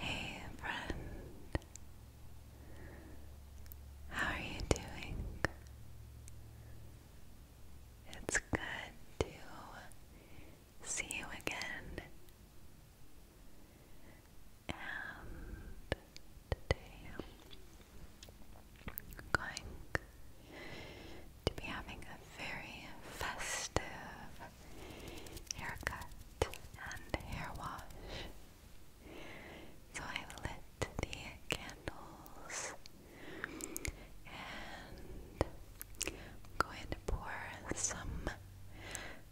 Hey friend, how are you doing? It's good to see you again. And going to be having a very festive haircut and hair wash. So I've lit the candles and I'm going to pour some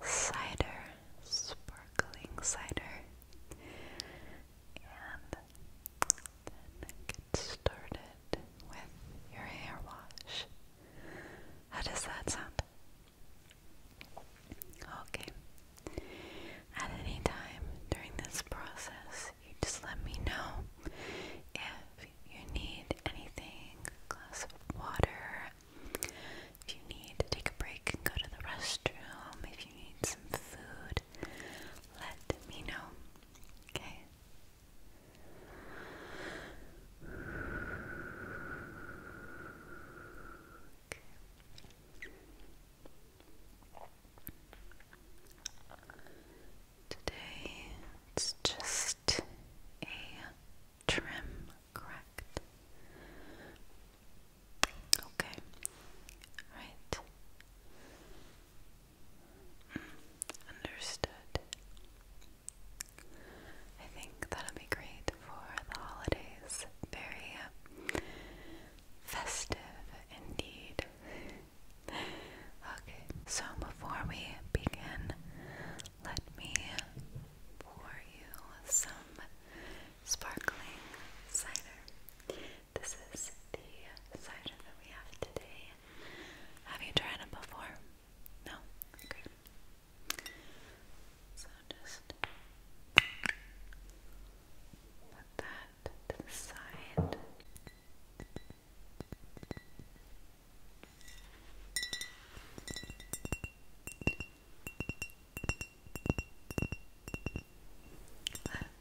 cider, sparkling cider, and get started with your hair wash. How does that sound? Okay. At any time during this process, you just let me know if you need anything, a glass of water, if you need to take a break and go to the restroom, if you need some food, let me know. Okay? Okay. Today it's just a trim, correct? Okay, right. Mm, understood. I think that'll be great for the holidays. Very uh, festive indeed. okay, so before we begin, let me pour you some sparkling cider. This is the cider that we have today. Have you tried it before? No? Okay. So just put that to the side.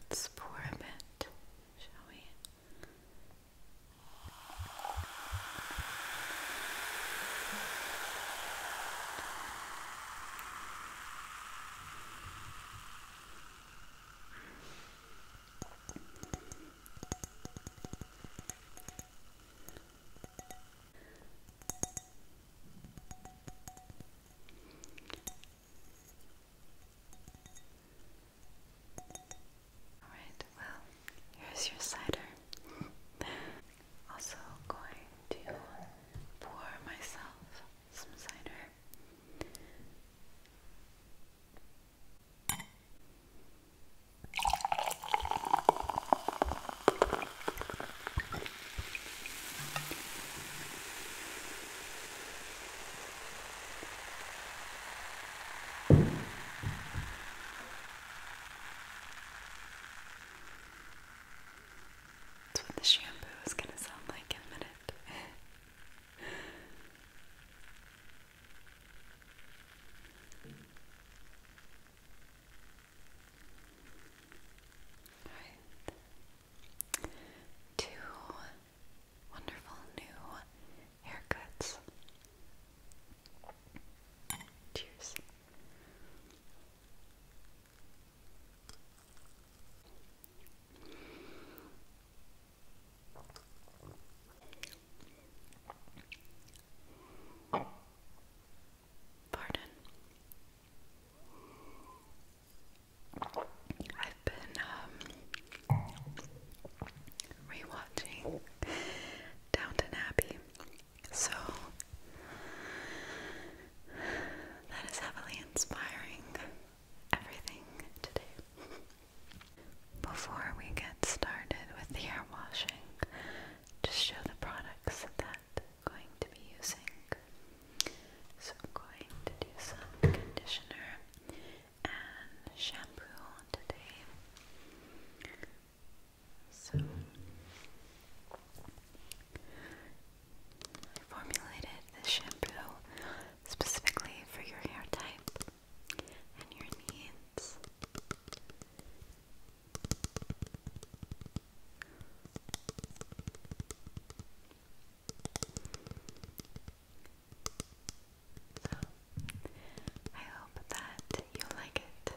Let's pour a bit, shall we? Alright, well, here's your cider. Also going to pour myself some cider. That's what the shampoo is going to sound like in a minute. Two wonderful new haircuts. Cheers. Pardon. I've been um, rewatching Downton Abbey so that is heavily inspiring everything today. Before we get started with the hair washing, just show the products that I'm going to be using. So I'm going to do some conditioner and shampoo today. So I formulated this shampoo specifically for your hair type and your needs. I hope that you like it.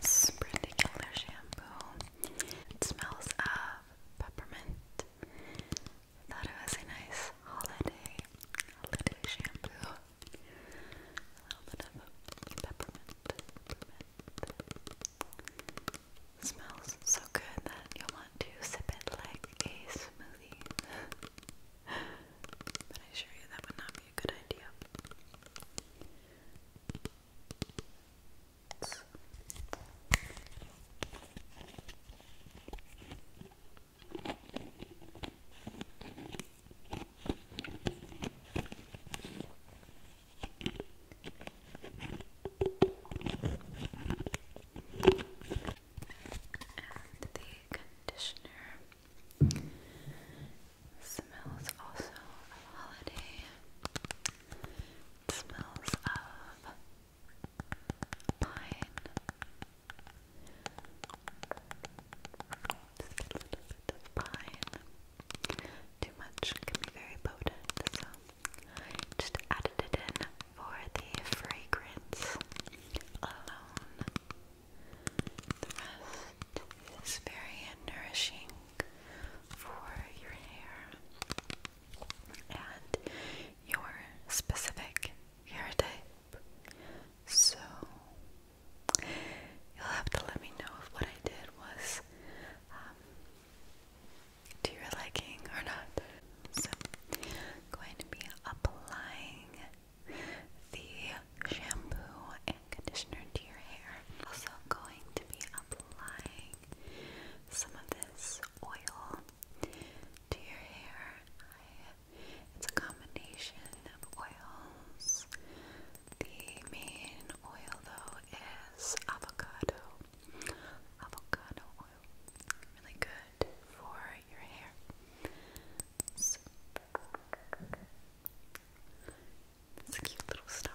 This particular shampoo smells of peppermint. thought it was a nice holiday holiday shampoo. A little bit of peppermint smells so good that you'll want to sip it like a smoothie. but I assure you that would not be a good idea. And the conditioner smells also holiday. smells of pine. Just a little bit of pine too much can be very potent, so just added it in for the fragrance alone. The rest is very nourishing for your hair and your specific hair type. So you'll have to let me know if what I did was um, to your liking or not. So, going to be applying the shampoo and conditioner to your hair. Also, going to be applying some of this oil to your hair. it's a combination of oils the main oil though is avocado. Avocado oil. Really good for your hair. it's a cute little stump.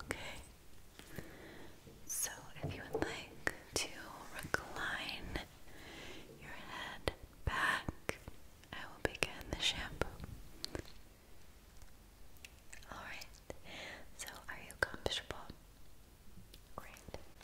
Okay. So, if you would like to recline your head back, I will begin the shampoo. Alright, so are you comfortable? Great.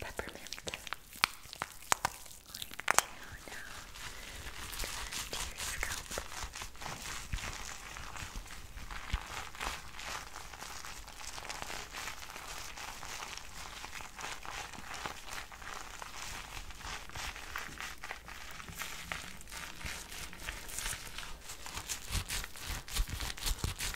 peppermint. I'm going to now to your scalp. Just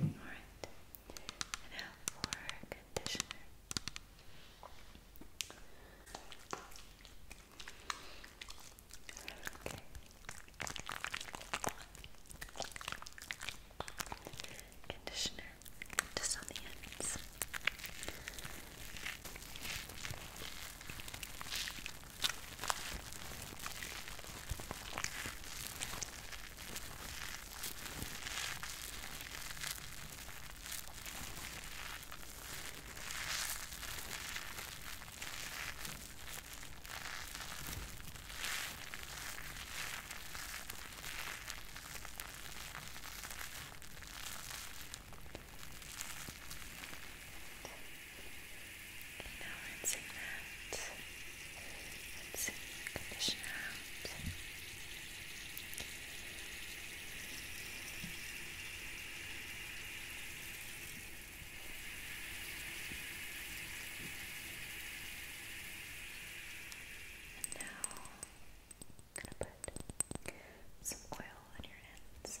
All right. And now for conditioner. Okay. Conditioner just on the ends. Okay. Okay, now rinsing that, rinsing conditioner out. And now I'm going to put some oil on your hands.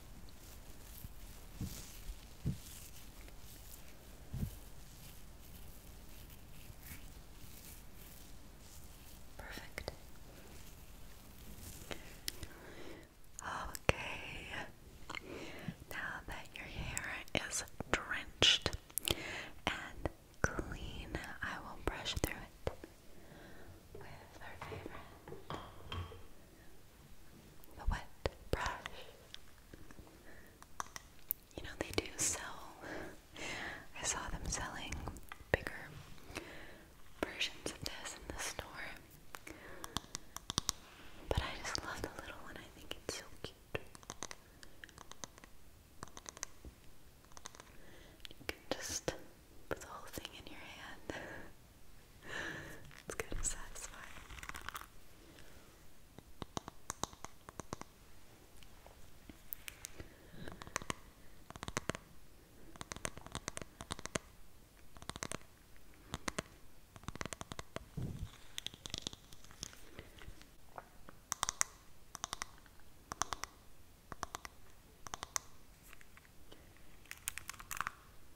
Perfect. Okay, now that your hair is drenched and clean, I will brush through it with our favorite the wet brush. You know, they do sell, I saw them selling bigger versions of this in the store. But I just love the little one, I think it's so cute. You can just put the whole thing in your hand it's kind of satisfying.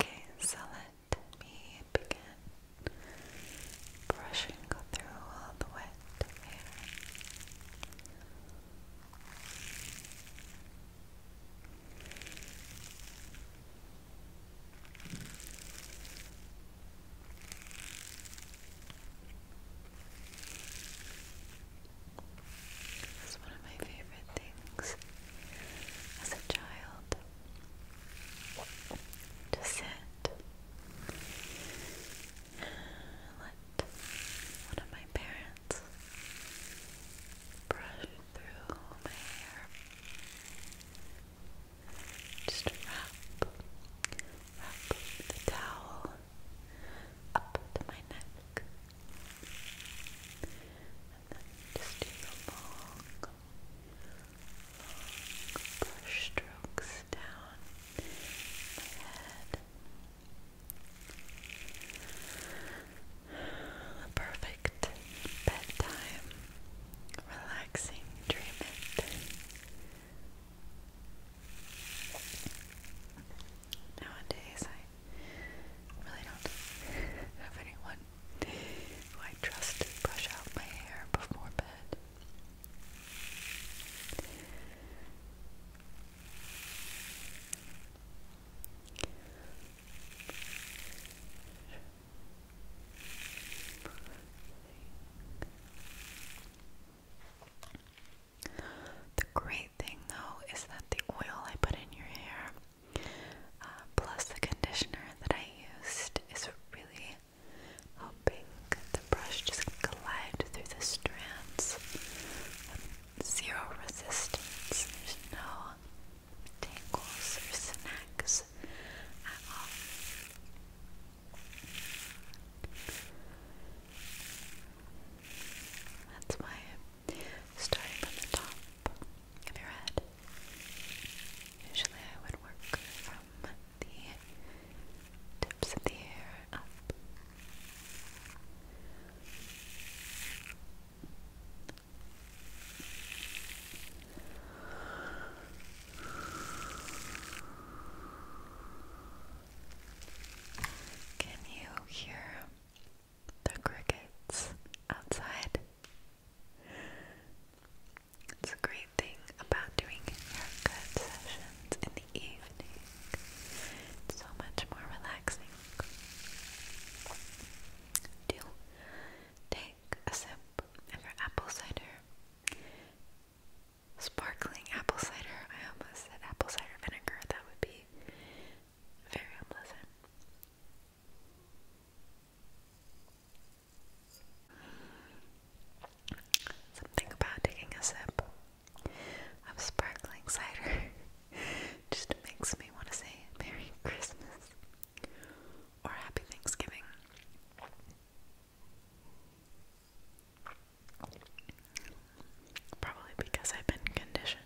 Okay, so let me begin brushing through all the wet hair. It's one of my favorite things as a child to sit and let one of my parents brush through my hair. Just wrap, wrap the towel up to my neck. And then just do long, long brush strokes down my head. A perfect bedtime, relaxing, dream Nowadays, I really don't have anyone who I trust to brush out my hair before bed. The great thing though is that the oil I put in your hair, uh, plus the conditioner that I used, is really helping the brush just glide through the strands. zero resistance. There's no tangles or snags at all. That's why I'm starting from the top of your head. Usually I would work from the tips of the hair up. Can you hear the crickets outside? It's a great thing about doing haircut sessions in the evening. so much more relaxing. Do take a sip of your apple cider Sparkling apple cider. I almost said apple cider vinegar. That would be very unpleasant. Something about taking a sip of sparkling cider just makes me want to say Merry Christmas or Happy Thanksgiving. Probably because I've been conditioned.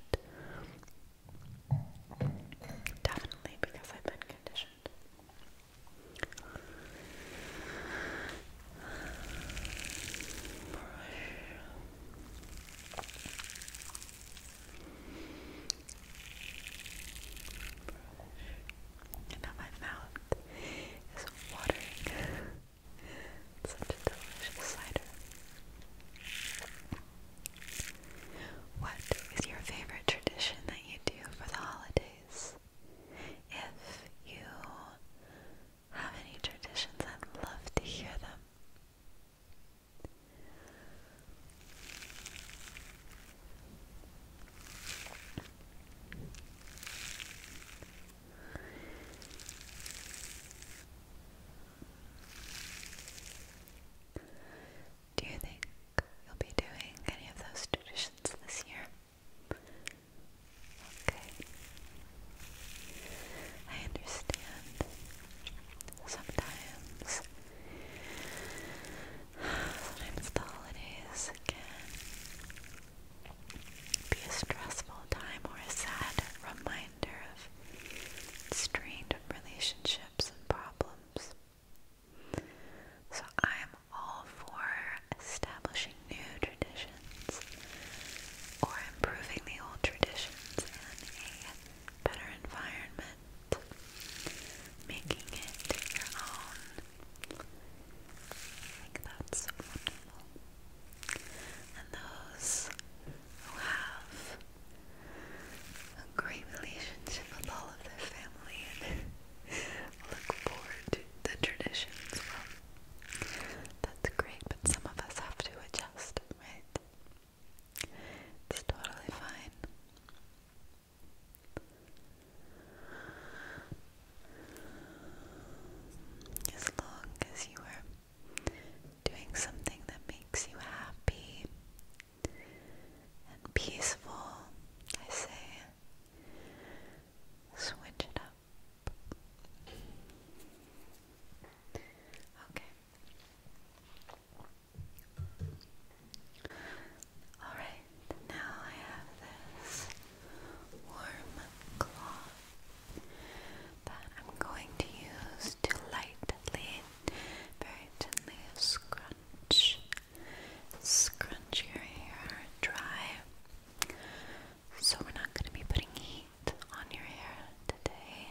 Definitely because I've been conditioned. now my mouth is watering. Such a delicious cider. What is your favorite tradition that you do for the holidays? If you have any traditions, I'd love to hear them. Do you think you'll be doing any of those traditions this year? Okay. I understand. Sometimes, sometimes the holidays can be a stressful time or a sad reminder of strained relationships and problems. So I'm all for establishing new traditions or improving the old traditions in a better environment, making it your own. I think that's wonderful and those who have a great relationship with all of their family look forward to the traditions. Well, that's great, but some of us have to adjust, right? It's totally fine. As long as you are doing something that makes you happy and peaceful, I say switch it up. Okay. Alright, now I have this warm cloth that I'm going to use to lightly, very gently scrunch, scrunch your hair dry. So we're not going to be putting heat on your hair today.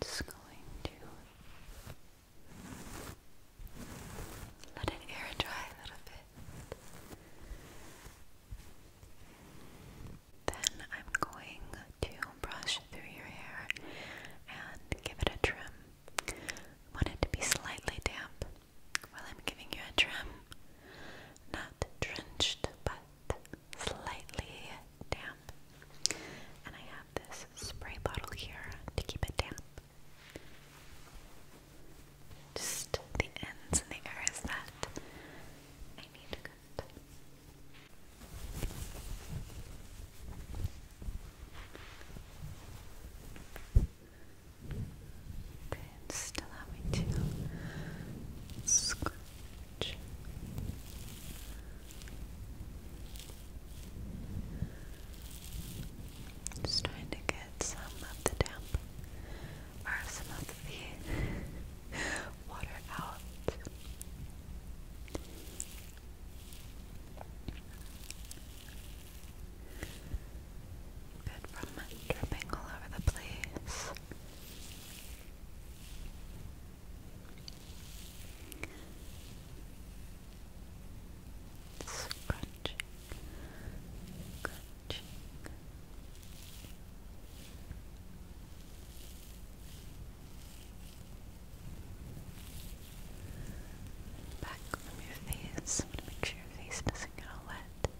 Just going to let it air dry a little bit. Then I'm going to brush through your hair and give it a trim. I want it to be slightly damp while I'm giving you a trim. Not drenched, but slightly damp. And I have this spray bottle here to keep it damp. Just the ends and the areas that I need to cut. Okay, just allow me to scratch. Just trying to get at some of the damp or some of the water out. Good from dripping all over the place. Scrunching, cheek. Back from your face. to make sure your face doesn't get all wet. There.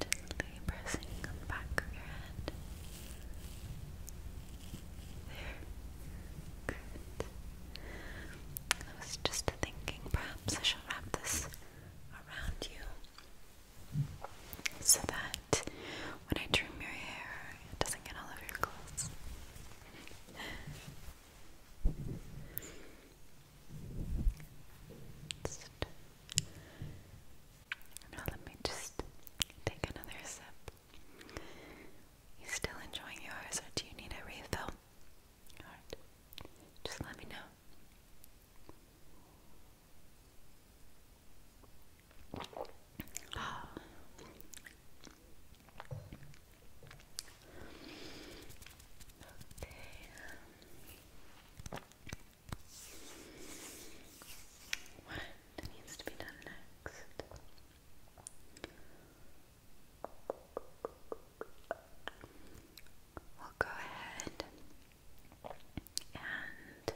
Gently pressing on the back of your head. There. Good. I was just thinking perhaps I should wrap this around you so that when I trim your hair, it doesn't get all over your clothes. now let me just take another sip. You still enjoying yours, or do you need a refill? just let me know. Okay. What needs to be done next? We'll go ahead and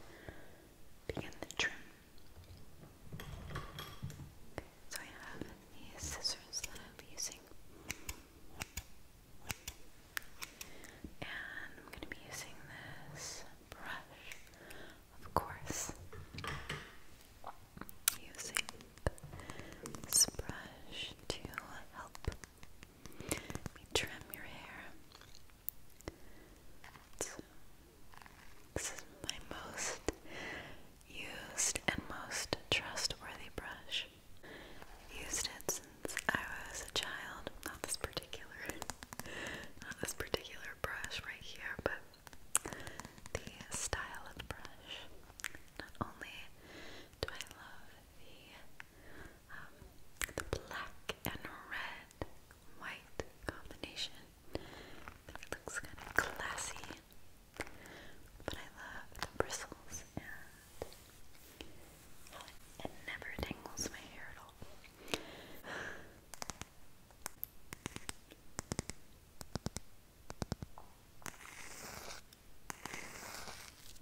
begin the trim. So I have these scissors that I'll be using, and I'm going to be using this brush, of course. Using this brush to help let me trim your hair. this is my most used and most trustworthy brush. Used it since I was a child. Not this particular, not this particular brush right here, but the style of brush. Not only do I love the um, the black and red white combination. looks kind of classy, but I love the bristles and it never tangles my hair at all.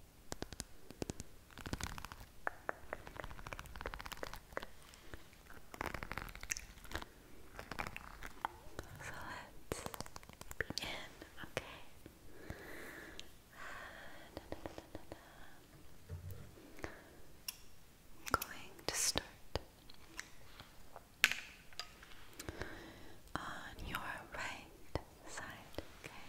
So let's begin, okay? going to start on your right side, okay?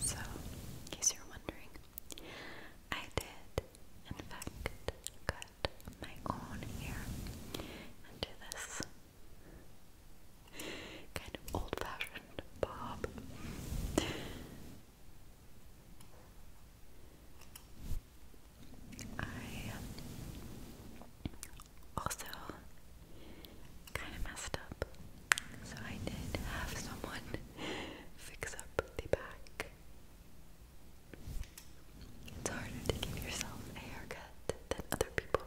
So, in case you're wondering, I did, in fact, cut my own hair into this kind of old fashioned bob. I also kind of messed up, so I did have someone fix up the back. It's harder to give yourself a haircut than other people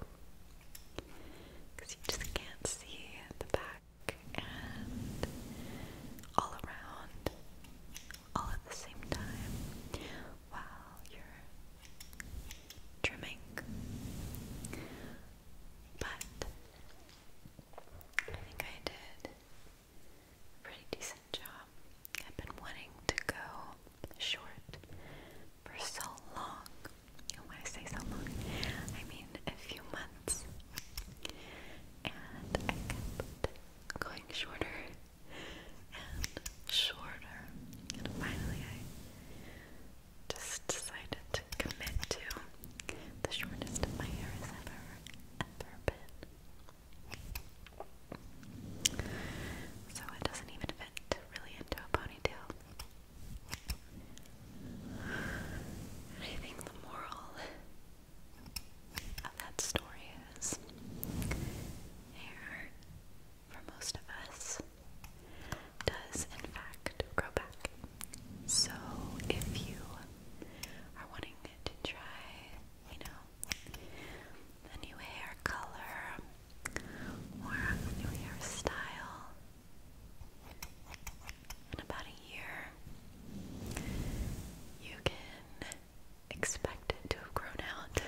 because you just can't see the back and all around all at the same time while you're trimming. But I think I did pretty decent job. I've been wanting to go short for so long. when I say so long, I mean a few months. And I kept going shorter shorter. And finally, I just decided to commit to the shortest my hair has ever, ever been. So it doesn't even fit really into a ponytail. I think the moral that story is. Hair, for most of us, does in fact grow back. So if you are wanting to try, you know, a new hair color or a new hairstyle in about a year, you can expected to have grown out.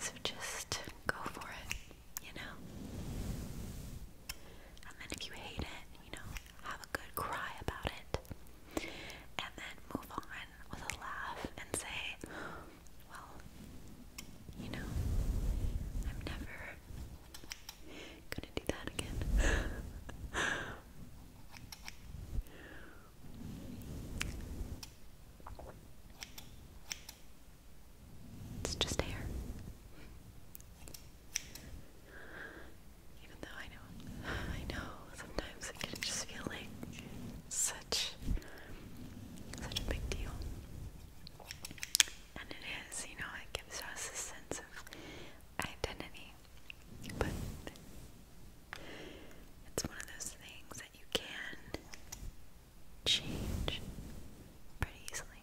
So just go for it, you know? And then if you hate it, you know, have a good cry about it. And then move on with a laugh and say, well, you know, I'm never gonna do that again. It's just hair. Even though I know, I know sometimes it can just feel like such, such a big deal. And it is, you know, it gives us a sense of identity. But it's one of those things that you can change pretty easily.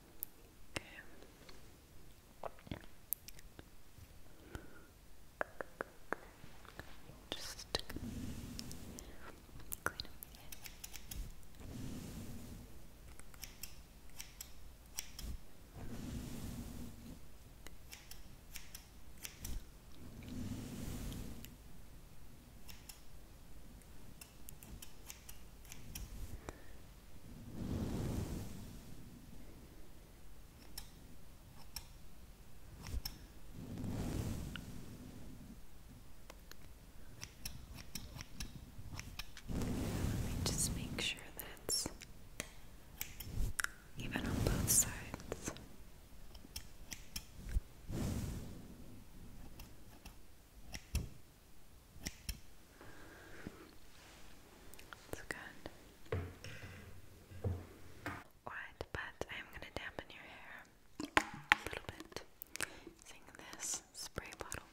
Okay. Just clean up Okay. Let me just make sure that's even on both sides. It's good. Alright, but I'm gonna dampen your hair a little bit using this spray bottle.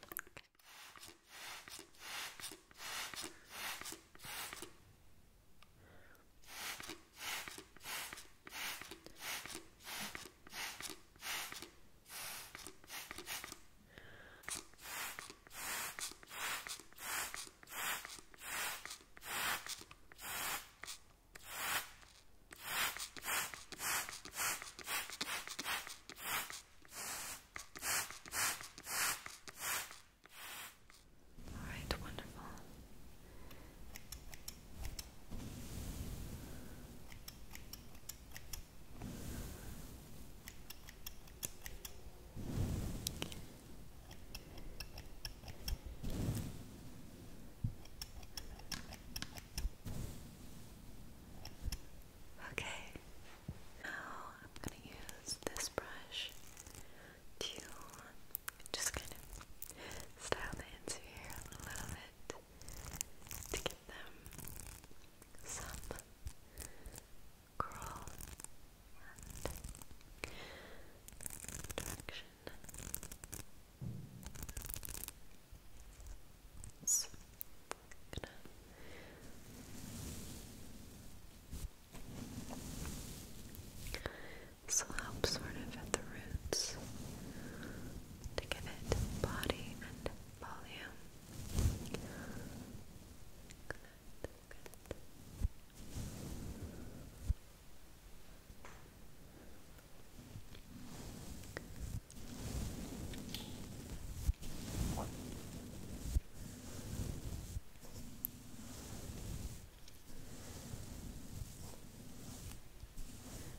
All right, wonderful. Okay, now I'm going to use this brush to just kind of style the ends here a little bit to give them some curl and direction. So, I'm this will help sort of at the roots to give it body and volume. Good,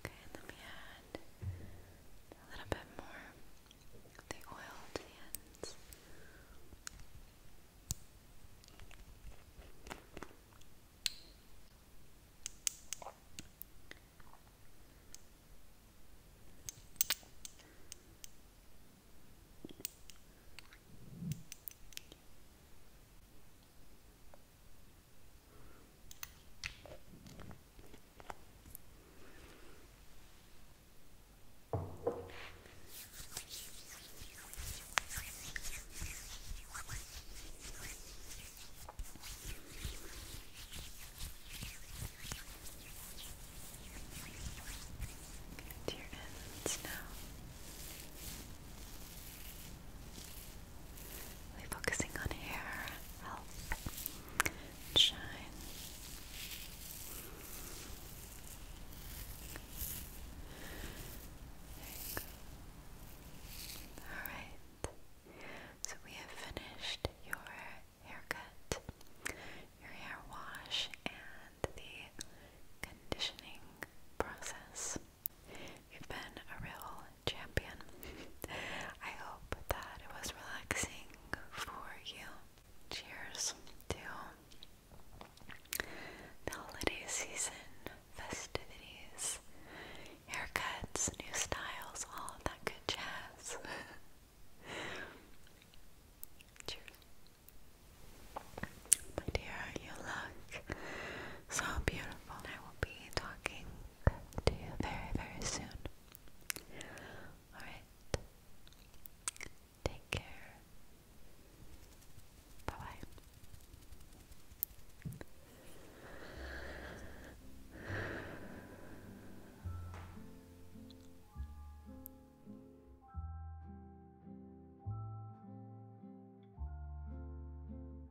Okay, let me add a little bit more of the oil to the ends. To your ends now. We're focusing on hair health shine. Alright, so we have finished your haircut, your hair wash, and the conditioning process. You've been a real champion. I hope that it was relaxing for you. Cheers to the holiday season, festivities, haircuts, new styles, all that good jazz. Cheers. My dear, you look so beautiful. I will be talking to you very, very soon. Alright. Take care. Bye bye.